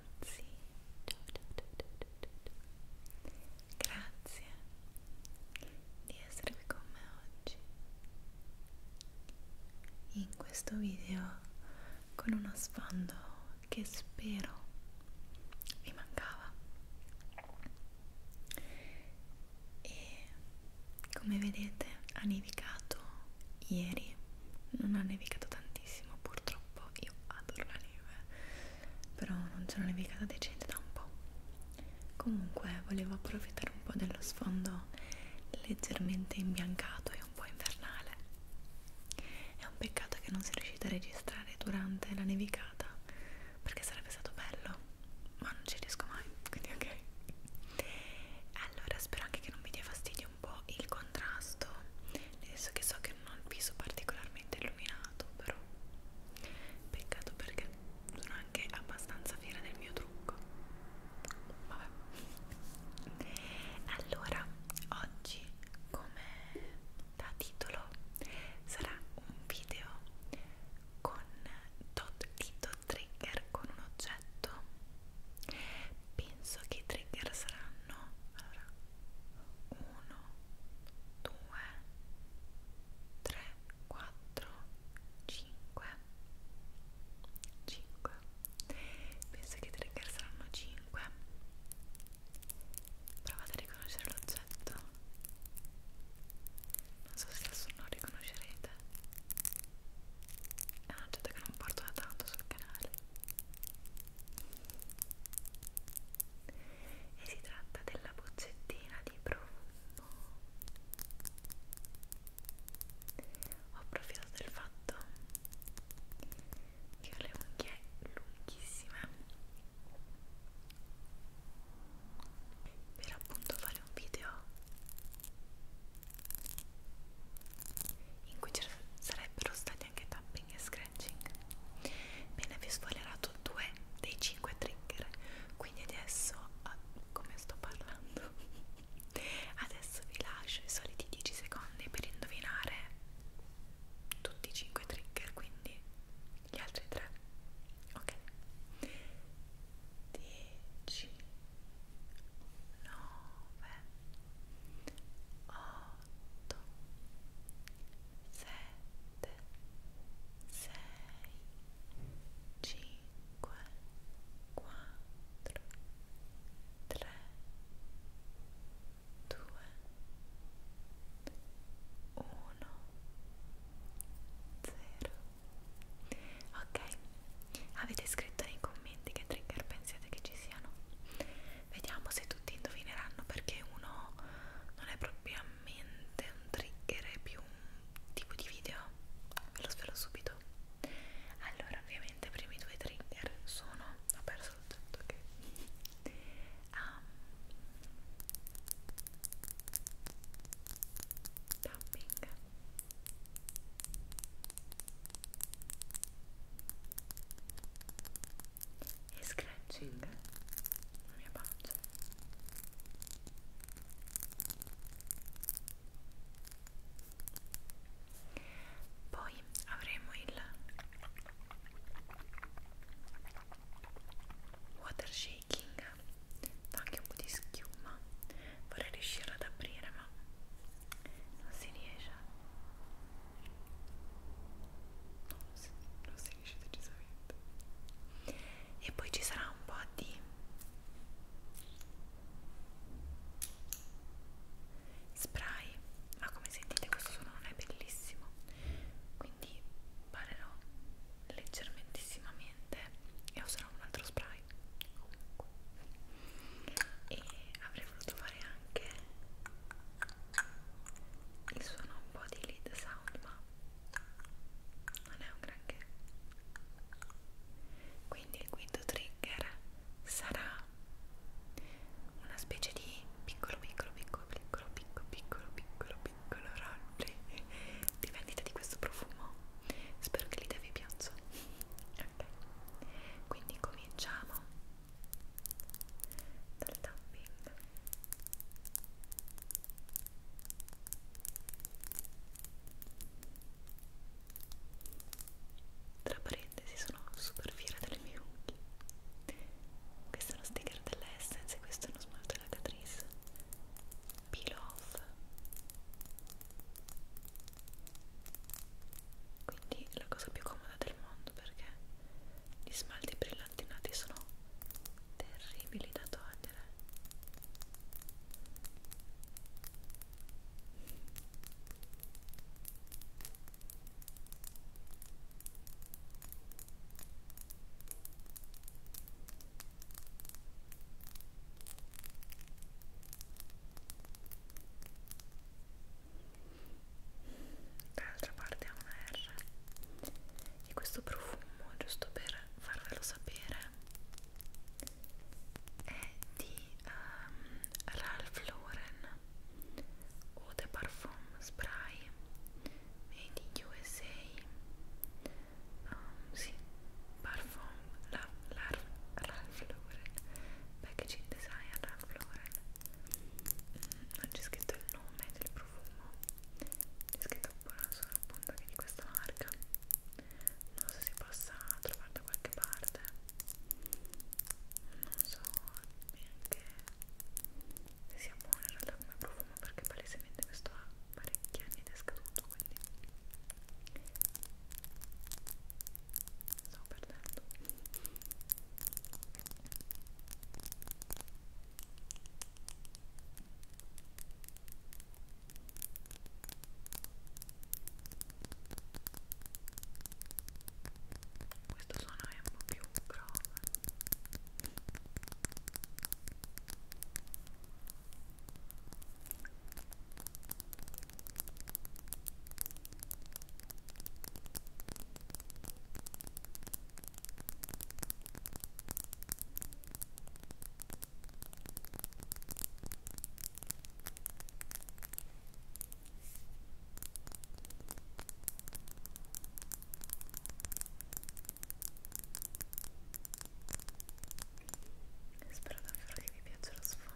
ragazzi ciao ciao ciao ciao ciao, ciao. grazie di essere qui con me oggi in questo video con uno sfondo che spero vi mancava e come vedete ha nevicato ieri non ha nevicato tantissimo purtroppo io adoro la neve però non c'è una nevicata decente da un po' comunque volevo approfittare un po' dello sfondo leggermente imbiancato e un po' invernale è un peccato che non sia riuscita a registrare durante la nevicata perché sarebbe stato bello ma non ci riesco mai quindi ok allora spero anche che non vi dia fastidio un po' il contrasto nel senso che so che non ho il viso particolarmente illuminato però peccato perché sono anche abbastanza fiera del mio trucco vabbè allora oggi come da titolo sarà un video con tot dito trigger con un oggetto oggetto penso che i trigger saranno allora 1 2 3 4 5 5 penso che i trigger saranno 5 provate a riconoscere l'oggetto non so se adesso non lo riconoscerete è un oggetto che non porto da tanto sul canale e si tratta della boccettina di profumo ho approfittato del fatto che ho le unghie lunghissime per appunto fare un video in cui ci sarebbero stati anche tapping e scratching. Bene, vi ho spoilerato due dei cinque trigger, quindi adesso, ah, come sto parlando, adesso vi lascio i soliti 10 secondi per indovinare tutti i cinque trigger, quindi gli altri tre. Ok. 10 9 8 7 6 5 4 3 2 1 otto, sette, sei, cinque, quattro, tre, due, uno, zero. Ok, Avete scritto nei commenti che trigger pensiate che ci siano? Vediamo se tutti indovineranno perché uno non è propriamente un trigger, è più un tipo di video. Ve lo svelo subito. Allora, ovviamente i primi due trigger sono... ho perso il tutto che... Okay. Um, ehm, tapping e scratching la mia pancia poi avremo il water shaking fa anche un po' di schiuma vorrei riuscire ad aprire ma non si riesce no, non, si, non si riesce decisamente e poi ci sarà un po' di spray ma come sentite questo suono non è bellissimo quindi parlerò leggermentissimamente e userò un altro spray comunque e avrei voluto fare fare anche il suono un po' di lead sound ma non è un granché quindi il quinto trigger sarà una specie di piccolo piccolo piccolo piccolo piccolo piccolo piccolo piccolo roleplay di vendita di questo profumo spero che l'idea vi piaccia ok quindi cominciamo dal tapping tra parentesi sono super fiera delle mie unghie questo è uno sticker dell'Essence e questo è uno smalto della Catrice peel off quindi è la cosa più comoda del mondo perché gli smalti brillantinati sono terribili da togliere dall'altra parte ha una R e questo profumo giusto per farvelo sapere è di um, Ralph Lauren Eau de Parfum Spray made in USA um, ehm, sì, Parfum la, la, Ralph Lauren packaging design Ralph Lauren mm, non c'è scritto il nome del profumo c'è scritto buona solo appunto che di questa marca non so se possa trovare da qualche parte non so neanche se sia buono in realtà come profumo perché palesemente questo ha parecchi anni ed è scaduto quindi Stavo perdendo questo suono è un po' più grave Spero davvero che vi piaccia lo sfondo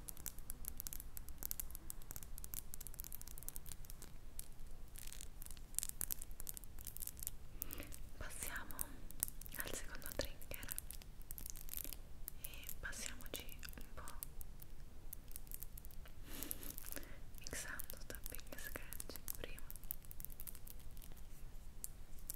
Passiamo al secondo trigger e passiamoci un po' mixando tapping e scratch prima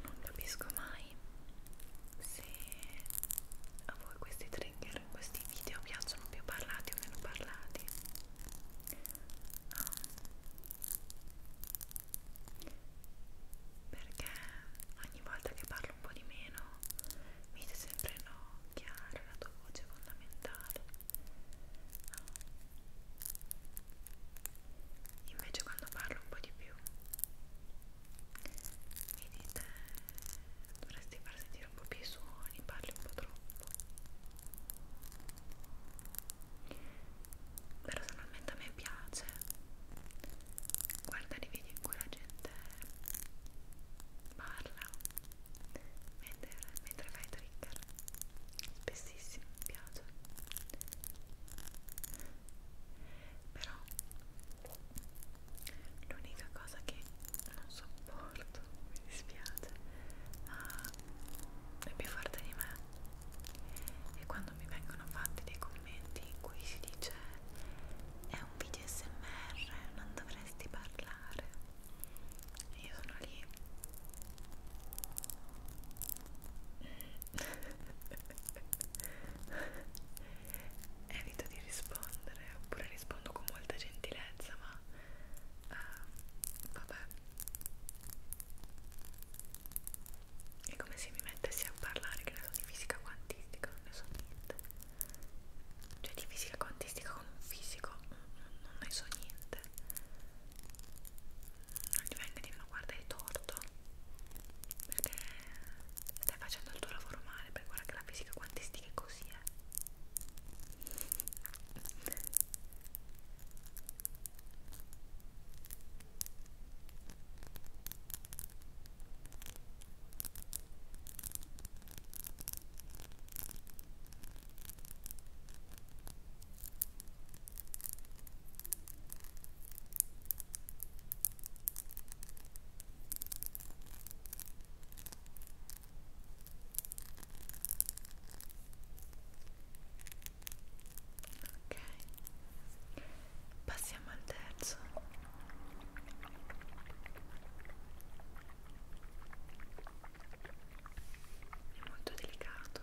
non capisco mai se a voi questi trigger in questi video piacciono più parlati o meno parlati um, perché ogni volta che parlo un po' di meno mi dite sempre no, chiaro, la tua voce è fondamentale no. invece quando parlo un po' di più mi dite dovresti far sentire un po' più i suoni, parli un po' troppo personalmente a me piace guardare i video in cui la gente te parla mentre, mentre fai trigger spessissimo, mi piace però l'unica cosa che non sopporto, mi dispiace ma è più forte di me e quando mi vengono fatti dei commenti in cui si dice è un video smr non dovresti parlare io sono lì evito di rispondere oppure rispondo con molta gentilezza ma uh, vabbè è come se mi mettessi a parlare che ne so di fisica quantistica non ne so niente cioè di fisica quantistica con un fisico mm, mm, non ne so niente non gli venga a dire no guarda hai torto perché stai facendo il tuo lavoro male perché guarda che la fisica quantistica è così eh Ok, passiamo al terzo è molto delicato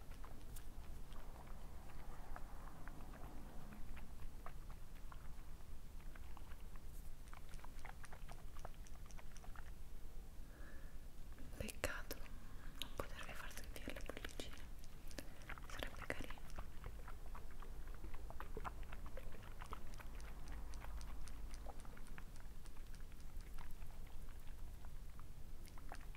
Peccato non potervi far sentire le bollicine, sarebbe carino.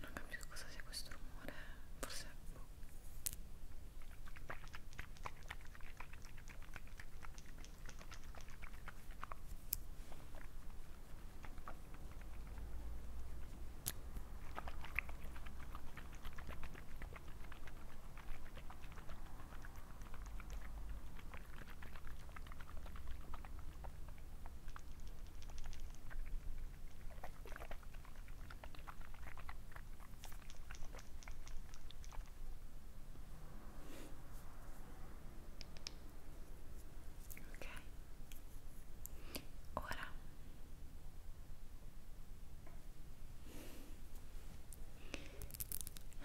Non capisco cosa sia questo rumore, forse Ok, ora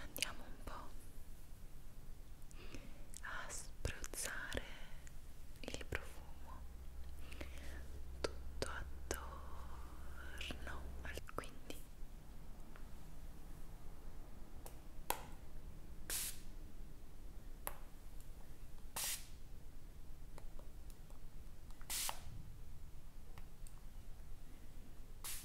andiamo un po' a spruzzare il profumo tutto attorno al quindi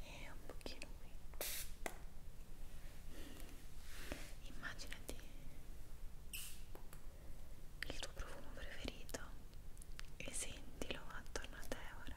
e un pochino qui immaginati il tuo profumo preferito e sentilo attorno a te ora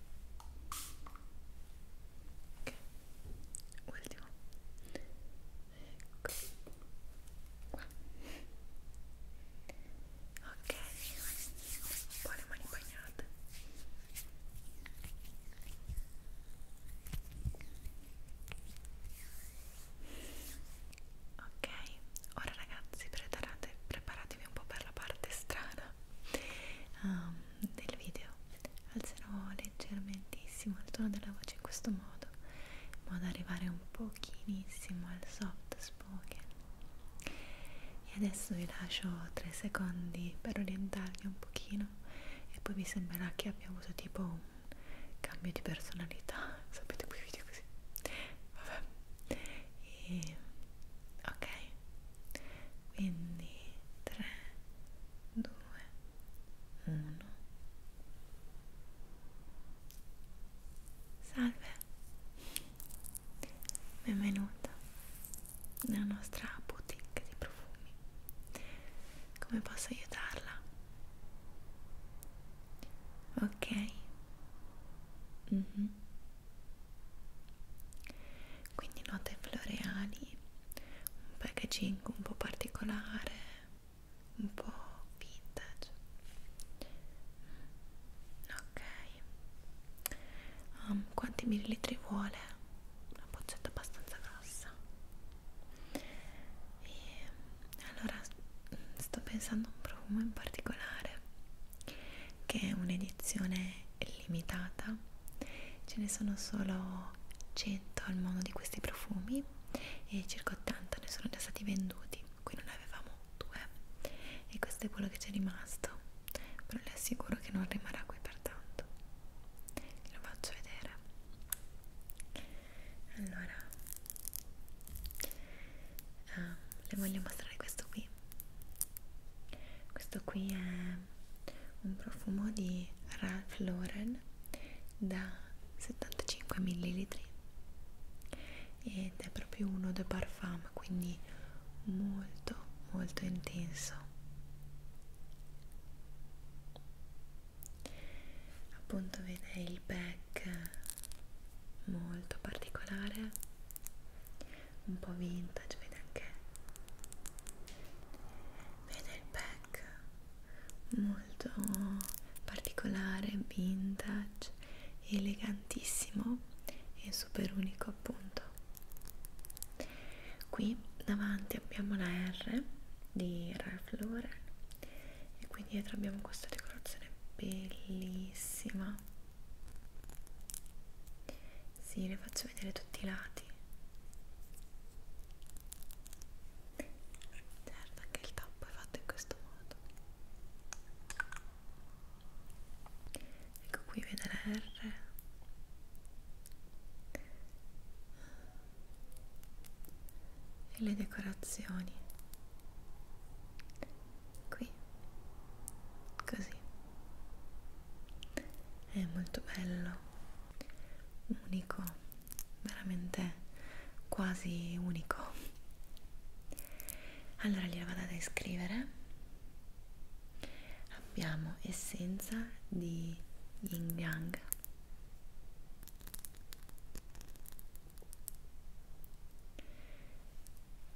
ok ultimo ecco qua ok un po' le mani bagnate ok ora ragazzi preparate, preparatevi un po' per la parte strana um, del video alzerò leggermentissimo il tono della voce in questo modo in modo da arrivare un pochinissimo al soft spoken e adesso vi lascio 3 secondi per orientarvi un pochino e poi vi sembrerà che abbia avuto tipo un cambio di personalità sapete quei video così vabbè e ok quindi 3 2 1 salve benvenuta nella nostra boutique di profumi come posso aiutarla ok mm -hmm quindi note floreali un packaging un po' particolare un po' vintage ok um, quanti millilitri vuole? una boccetta abbastanza grossa e, allora sto pensando a un profumo in particolare che è un'edizione illimitata ce ne sono solo 100 al mondo di questi profumi e circa 80 ne sono già stati venduti qui non ne avevamo due e questo è quello che ci è rimasto però le assicuro che non rimarrà qui per tanto lo faccio vedere allora ah, le voglio mostrare questo qui questo qui è un profumo di Ralph Lauren da 75 ml ed è proprio uno de parfum quindi molto molto intenso appunto vede il back molto particolare un po' vintage vede anche vede il pack molto particolare vintage elegantissimo e super unico appunto qui davanti abbiamo la R di Ralph Lauren e qui dietro abbiamo questa decorazione bellissima sì, le faccio vedere tutti i lati. Certo, anche il tappo è fatto in questo modo. Ecco qui vede la R. E le decorazioni. Qui. Così è molto bello unico veramente quasi unico allora gliela vado ad iscrivere abbiamo essenza di yin yang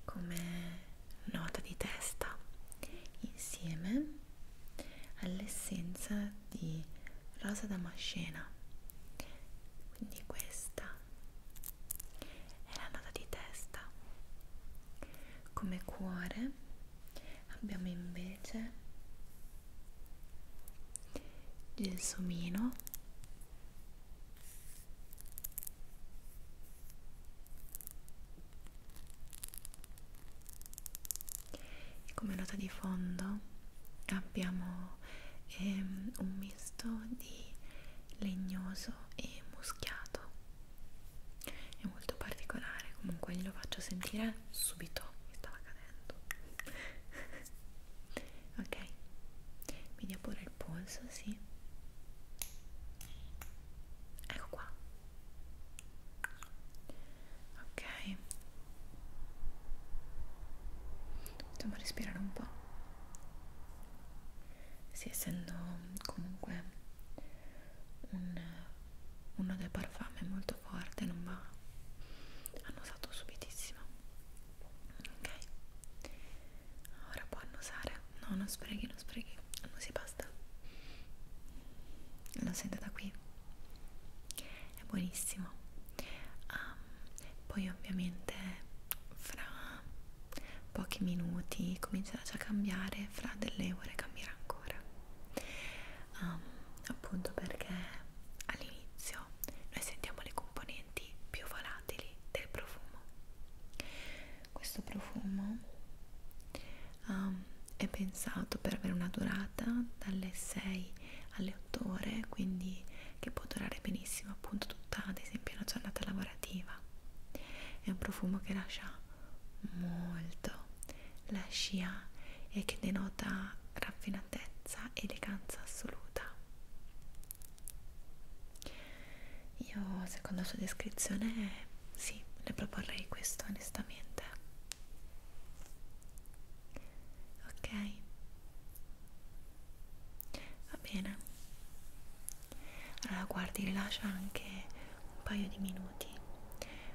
come nota di testa insieme all'essenza di rosa damascena quindi questa è la nota di testa come cuore abbiamo invece gelsomino e come nota di fondo abbiamo ehm, un misto di legnoso e muschiato è molto particolare comunque glielo faccio sentire subito mi stava cadendo ok mi dia pure il polso sì ecco qua ok dobbiamo respirare un po' sì, essendo comunque un, uno dei parfumi molto forte non va annusato subitissimo ok Ora può annusare. No, non sprechi, non sprechi. Annusi basta. Lo sento da qui. È buonissimo. Um, poi ovviamente fra pochi minuti comincerà già a cambiare, fra delle ore cambierà ancora. Um, appunto perché all'inizio noi sentiamo le componenti più volatili del profumo questo profumo um, è pensato per avere una durata dalle 6 alle 8 ore quindi che può durare benissimo appunto tutta ad esempio una giornata lavorativa è un profumo che lascia molto la scia e che denota raffinatezza eleganza assoluta io, secondo la sua descrizione, sì, le proporrei questo onestamente. Ok, va bene. Allora, guardi, rilascia anche un paio di minuti,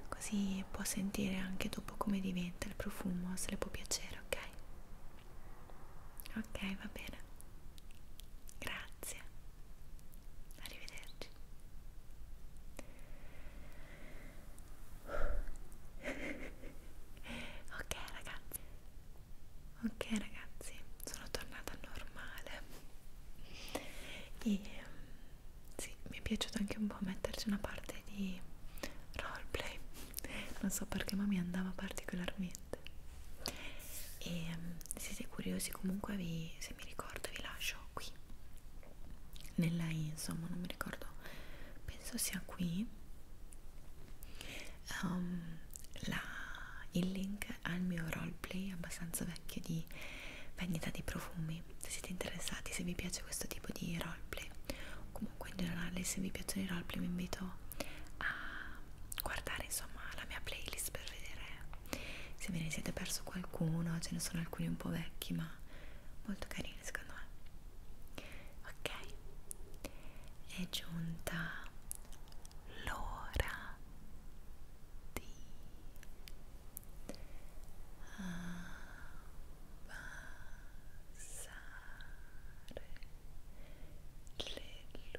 così può sentire anche dopo come diventa il profumo, se le può piacere, ok? Ok, va bene. Grazie. Arrivederci. ok ragazzi. Ok ragazzi, sono tornata normale. E ehm, sì, mi è piaciuto anche un po' metterci una parte di roleplay. Non so perché ma mi andava particolarmente. E ehm, se siete curiosi comunque vi, se se mi ricordo vi lascio qui nella insomma non mi ricordo penso sia qui um, la, il link al mio roleplay abbastanza vecchio di vendita di profumi se siete interessati se vi piace questo tipo di roleplay o comunque in generale se vi piacciono i roleplay vi invito a guardare insomma la mia playlist per vedere se ve ne siete perso qualcuno, ce ne sono alcuni un po' vecchi ma molto carini secondo me. Ok, è giunta l'ora di abbassare ah, le luci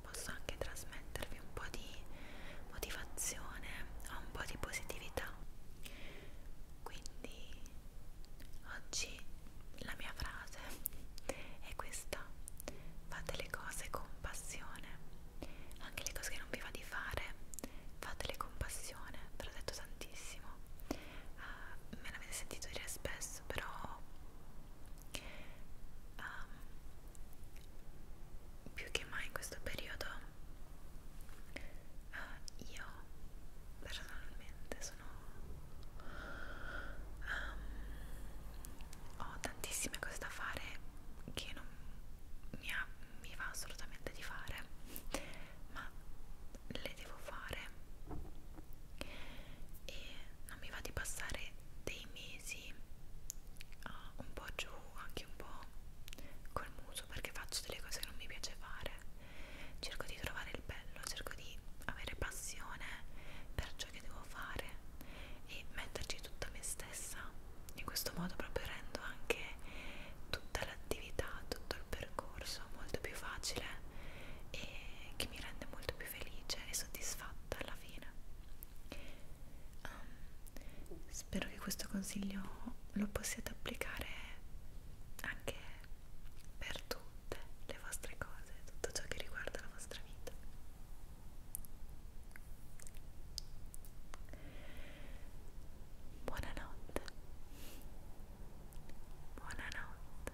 posso anche trasmettervi un po' di motivazione un po' di positività quindi oggi la mia frase è questa fate le cose con passione anche le cose che non vi va di fare fatele con passione ve l'ho detto tantissimo uh, me l'avete sentito dire spesso però um, più che mai in questo periodo uh, io personalmente sono um, ho tantissime cose da fare che non mi, ha, mi va assolutamente di fare ma le devo fare e non mi va di passare dei mesi uh, un po' giù, anche un po' col muso perché faccio delle cose che non mi piace fare cerco di trovare il bello, cerco di avere passione per ciò che devo fare e metterci tutta me stessa in questo modo proprio rendo anche tutta l'attività, tutto il percorso molto più facile e che mi rende molto più più felice e soddisfatta alla fine um, spero che questo consiglio lo possiate applicare anche per tutte le vostre cose tutto ciò che riguarda la vostra vita buonanotte buonanotte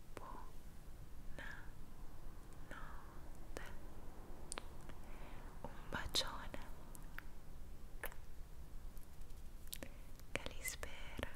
Buonanotte. Un bacione. Calispera.